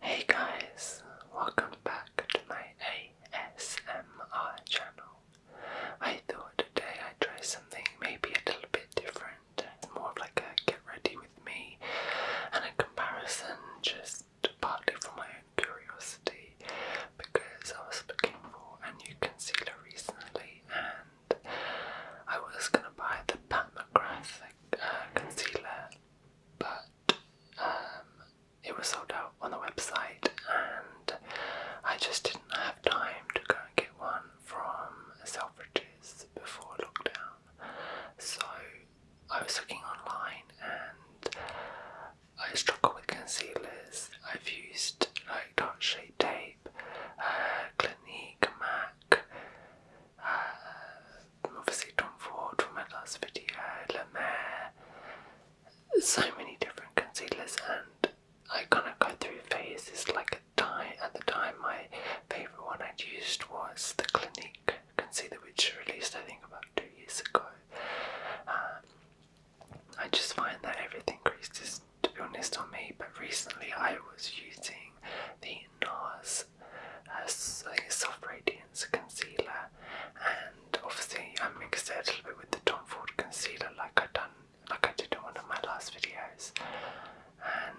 Hey guys, welcome back to my ASMR channel. I thought today I'd try something maybe a little bit different, more of like a get ready with me and a comparison just partly for my own curiosity because I was looking for a new concealer recently and I was gonna buy the Pat McGrath uh, concealer but um, it was sold out on the website, and I just didn't have time to go and get one from Selfridges before lockdown. So I was looking online and I struggled with concealers. I've used like dark shade tape, uh, Clinique, MAC, uh, obviously Tom Ford from my last video, La so many different concealers, and I kind of go through phases like a time. At the time, my favourite one I'd used was the Clinique concealer, which released I think about two years ago. Um, I just find that everything creases, to be honest, on me, but recently I was using the NARS is a soft radiance concealer and obviously I mixed it a little bit with the Tom Ford concealer like I done like I did in one of my last videos and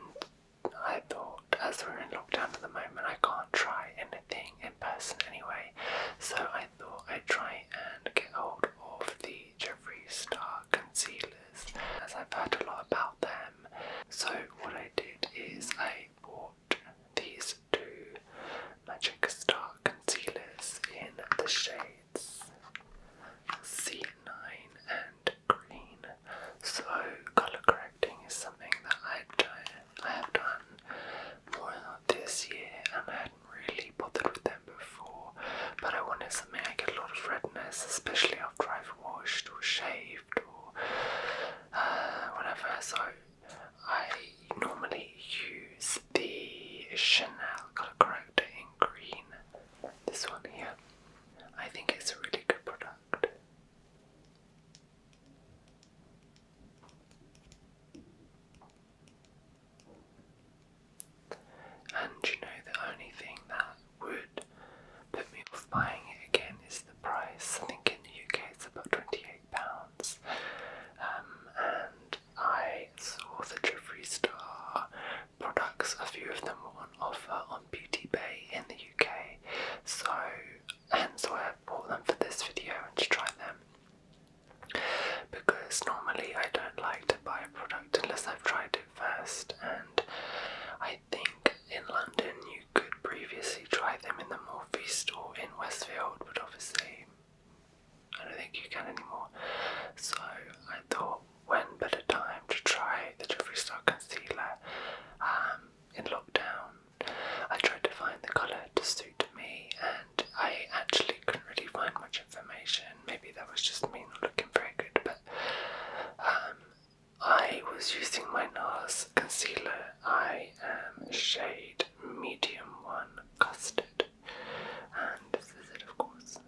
I thought as we're in lockdown at the moment I can't try anything in person anyway so I thought I'd try and get hold of the Jeffree Star concealers as I've heard a lot about them so what I did is I bought these two Magic Star concealers in the shades C9 and green. So color correcting is something that I've done, I have done more this year, and I hadn't really bothered with them before. But I wanted something I get a lot of redness, especially after I've washed or shaved or uh, So I normally use the Chanel Color Corrector in green. This one here. I think it's a really good product. And you know, the only thing that would put me off buying it again is the price. I think in the UK it's about £28. Um, and I saw the Jeffree Star products, a few of them were on offer on Beauty Bay in the UK. So, and so I bought them for this video and to try them. Because normally I don't like to buy a product unless I've tried it first, and I I think in London you could previously try them in the Northeast or in Westfield, but obviously I don't think you can anymore. So I thought, when better time to try the Jeffree Star concealer um, in lockdown? I tried to find the colour to suit me, and I actually couldn't really find much information. Maybe that was just me not looking very good, but um, I was using my NARS concealer. I am shade medium one custard. And this is it of course.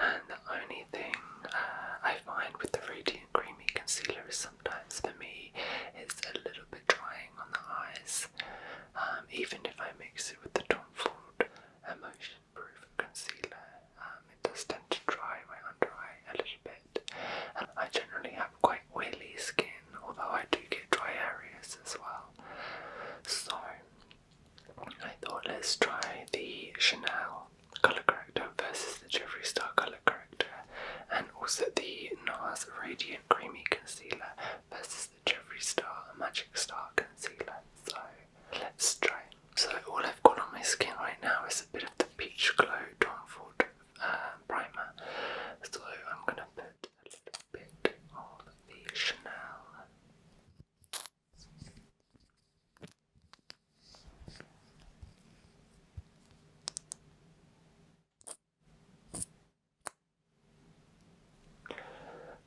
And the only thing uh, I find with the Radiant Creamy Concealer is sometimes for me it's a little bit drying on the eyes. Um, even if I mix it with the Tom Ford Emotion Proof Concealer, um, it does tend to dry my under eye a little bit. And I generally have quite oily skin, although I do get dry areas as well. So I thought let's try the Chanel Colour Corrector versus the Jeffree Star Colour Corrector, and also the NARS Radiant Creamy Concealer versus is Star, a Magic Star concealer. So let's try So all I've got on my skin right now is a bit of the Peach Glow Tom Ford uh, primer. So I'm gonna put a little bit of the Chanel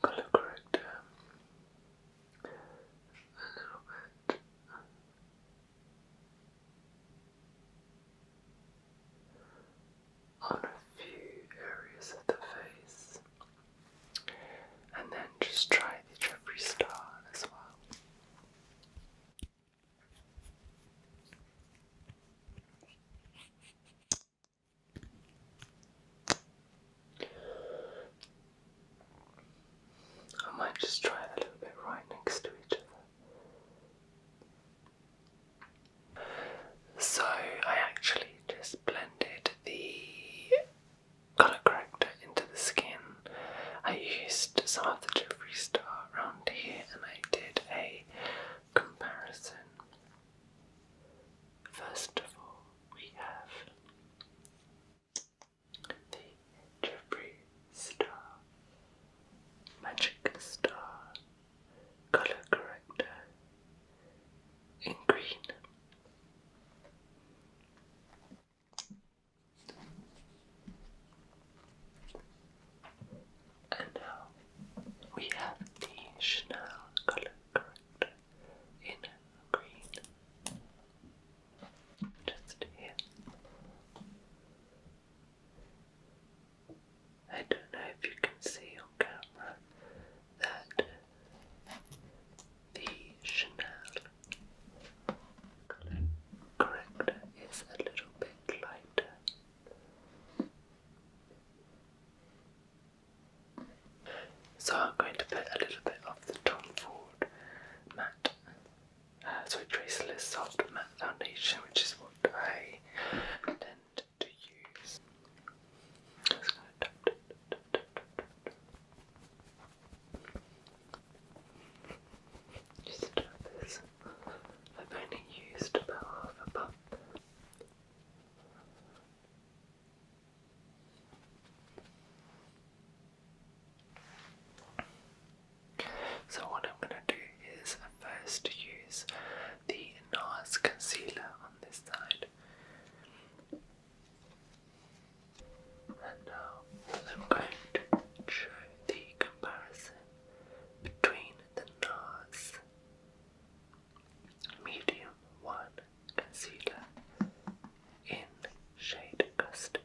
colour corrector um, On a few areas of the face, and then just try the Jeffree Star as well. I might just try a little bit right next to each other. So I actually just blended the colour corrector into the skin. I used some of the Jeffrey Star around here and I did a comparison First of all, we have the Jeffree Star Magic Star Color Corrector in green. And now we have the Chanel color corrector in green. Just here. I don't know if you can see on camera that the Chanel color corrector is a little bit lighter so I'm going to put a little bit of the Tom Ford matte, uh, sorry, Traceless Soft Matte Foundation, which is what I tend to use. Just going this. I've only used about half a puff. So, what I'm going to do is first use the NARS concealer on this side. And now I'm going to show the comparison between the NARS medium one concealer in shade Custard.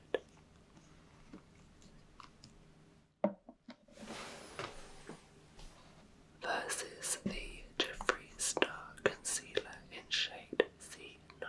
Versus the Jeffree Star Concealer in shade C9.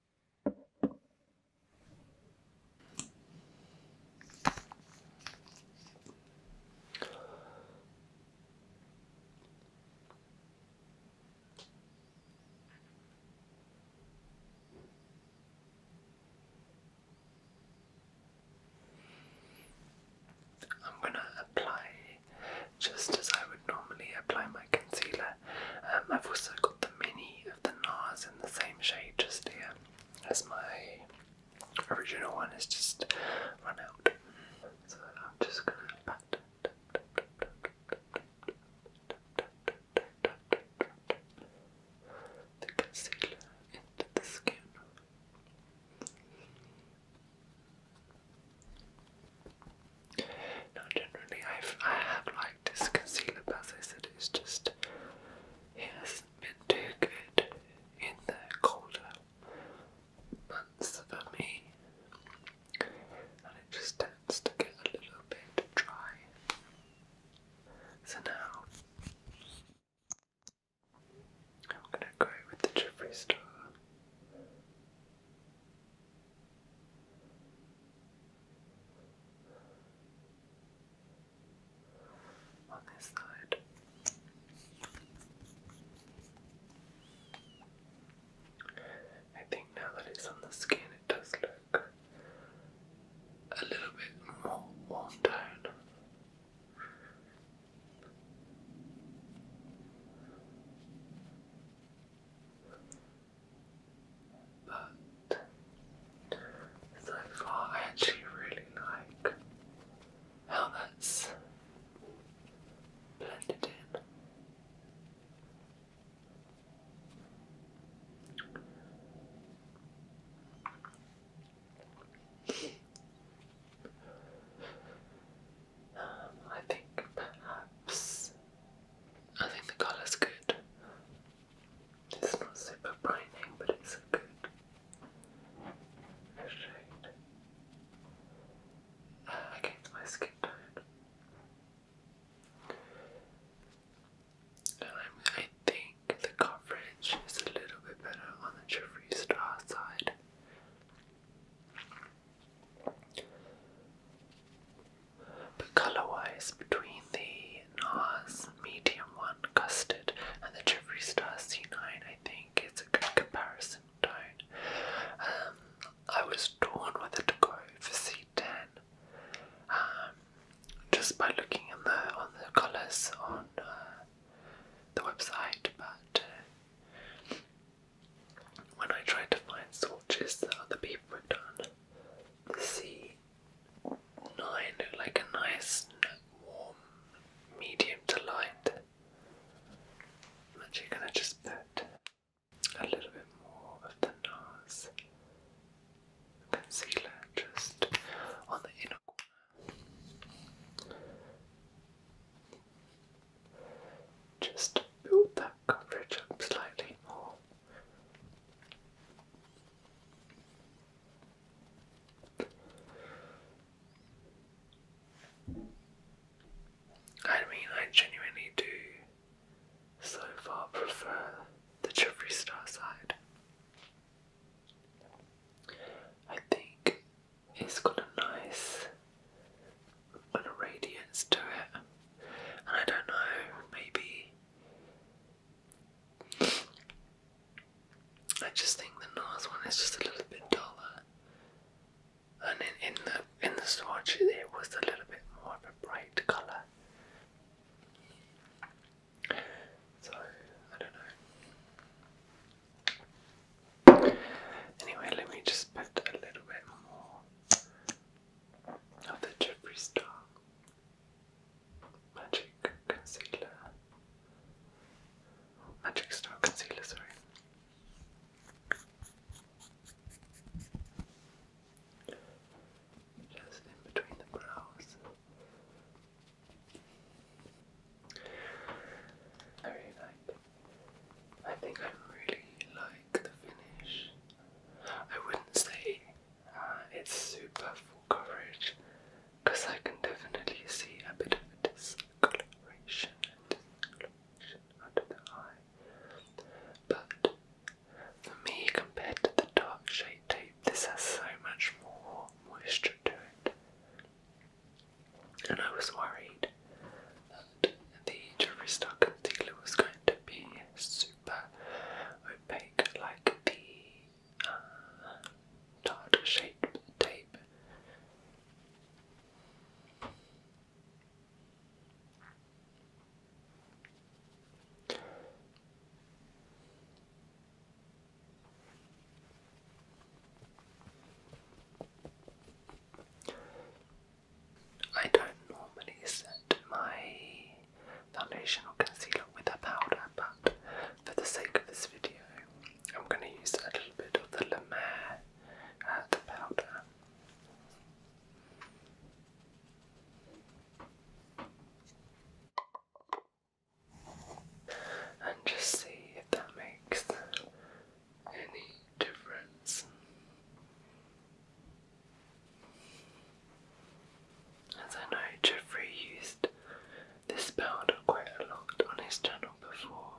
I'm going to apply just as I would normally apply my concealer. Um, I've also got the many of the gnaws in the same shade just there, as my original one is just run out. So I'm just gonna pat the concealer into the skin. Now, generally, I've, I have liked this concealer, but as I said, it's just it hasn't been too good in the colder months for me, and it just tends to get a little bit dry. So now I'm gonna go with the Jeffree Star. On this side. I think now that it's on the skin, it does look a little bit more warm tone. But so far, I actually really like how that's blended in. Um, I think perhaps I think the colour's good. It's not super brightening, but it's a good shade against uh, my skin tone. And I, think the coverage is a little bit better on the Jeffree Star side. But color-wise, between the NARS Medium 1 Custard and the Jeffree Star C9, I think it's a good comparison tone. Um, I was torn whether to go for C10. Um, just by looking on the colours on uh, the website, but uh, when I tried to find swatches that other people had done, C9, like a nice warm medium to light. I'm actually going to just put a little bit more of the nose concealer just on the inner corner. Just build that coverage up slightly more. I mean, I genuinely do so far prefer the Jeffree Star side. I think it's got a nice kind of radiance to it, and I don't know, maybe I just think the north one is just a little bit duller, and in the in the swatch it was a little bit more of a bright colour. So I don't know. Anyway, let me just put a little bit more of the Jeffree Star Magic Concealer. Magic Star Concealer, sorry. Just in between the brows. I really like I think I really like the finish. I wouldn't say uh, it's super full coverage because I can definitely see a bit of discoloration and discoloration under the eye. But for me, compared to the dark shade this has so much more moisture to it. And I was worried that the Jeffree Star concealer was going to be super super opaque like the uh, tart tape. I don't normally set my foundation or concealer with a powder, but for the sake of this video, I'm going to use a little bit of the La Mer uh, powder. And just see if that makes any difference. As I know, Jeffrey used this powder quite a lot on his channel before,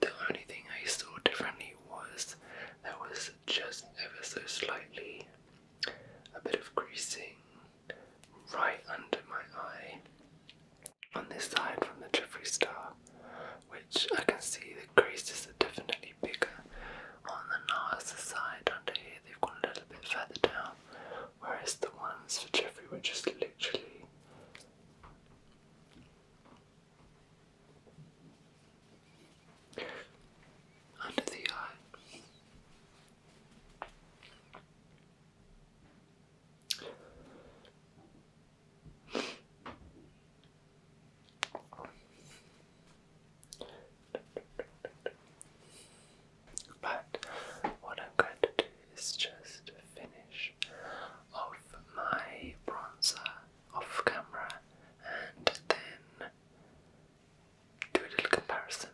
the only thing I saw differently was there was just ever so slightly a bit of greasing right under my eye on this side from the Jeffree Star, which I can see the grease is definitely bigger on the Narsa side under here. They've gone a little bit further down, whereas the ones for Jeffrey were just literally. Under the eye. But what I'm going to do is just finish off my bronzer off camera and then do a little comparison.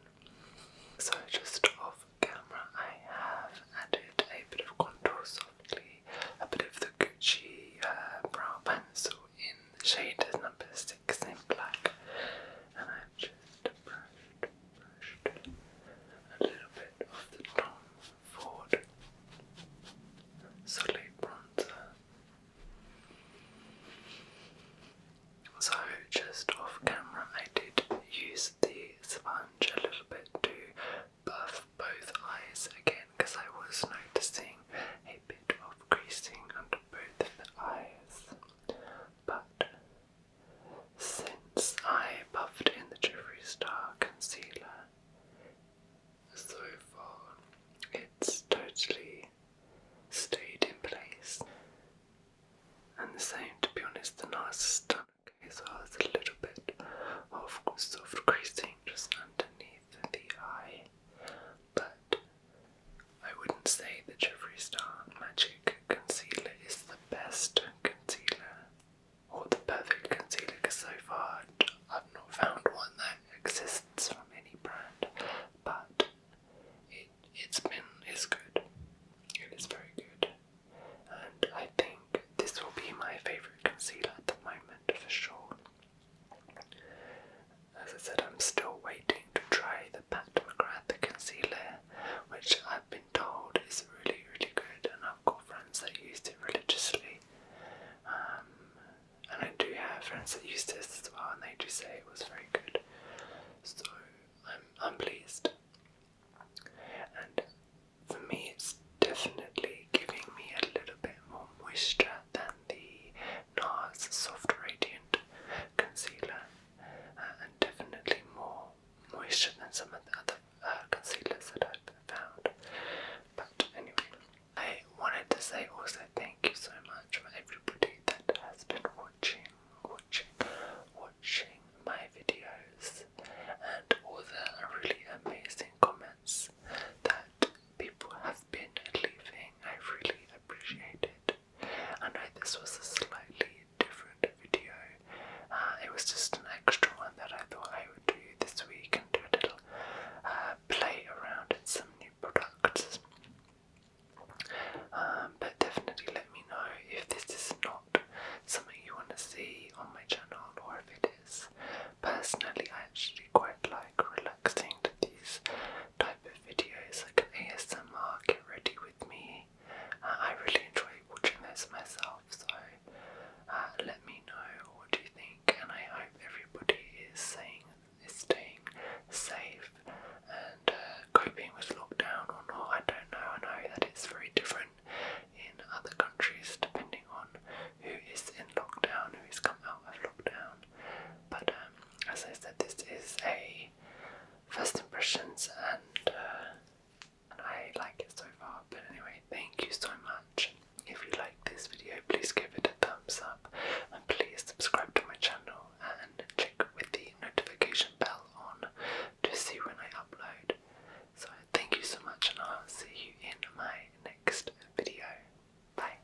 So, just off camera, I have added a bit of contour softly, a bit of the Gucci uh, brow pencil, in the shade number six in black, and I just brushed, brushed a little bit of the Tom Ford solid bronzer. So just off camera, I did use the sponge a little bit to buff both eyes again because I was noticing a of creasing under both eyes, but since I buffed in the Jeffree Star concealer so far, it's totally stayed in place. And the same, to be honest, the nose is done okay, so there's a little bit of soft creasing just underneath the eye, but I wouldn't say the Jeffree Star Magic Concealer is the best concealer or the perfect concealer because so far I've not found one that exists from any brand, but it, has been as good. It is very good, and I think this will be my favorite concealer at the moment for sure. As I said, I'm still waiting to try the Pat McGrath concealer, which I've been told is really, really good, and I've got friends that used it religiously. Um, and I do have friends that used this as well, and they do say it was very good. So I'm pleased. And for me, it's definitely giving me a little bit more moisture than the NARS Soft Radiant Concealer, uh, and definitely more moisture than some of the other uh, concealers that I've found. But anyway, I wanted to say also thank you so much for everybody that has been watching, watching, watching my videos and all the really amazing comments that people have been leaving I really appreciate it. I know this was a slightly different video. Uh, it was just an extra one that I thought I would do this week and do a little uh, play around in some new products. Um, but definitely let me know if this is not something you want to see on my channel or if it is. Personally, I actually quite like relaxing these type of videos like ASMR get ready with me. Uh, I really enjoy watching those myself, so uh, let me know what you think and I hope everybody is staying safe and uh, coping with lockdown or not. I don't know. I know that it's very different in other countries depending on who is in lockdown, who has come out of lockdown. But um, as I said, this is a first impressions, uh, and, I like it so far. But anyway, thank you so much. If you like this video, please give it a thumbs up, and please subscribe to my channel and check with the notification bell on to see when I upload. So thank you so much, and I'll see you in my next video. Bye.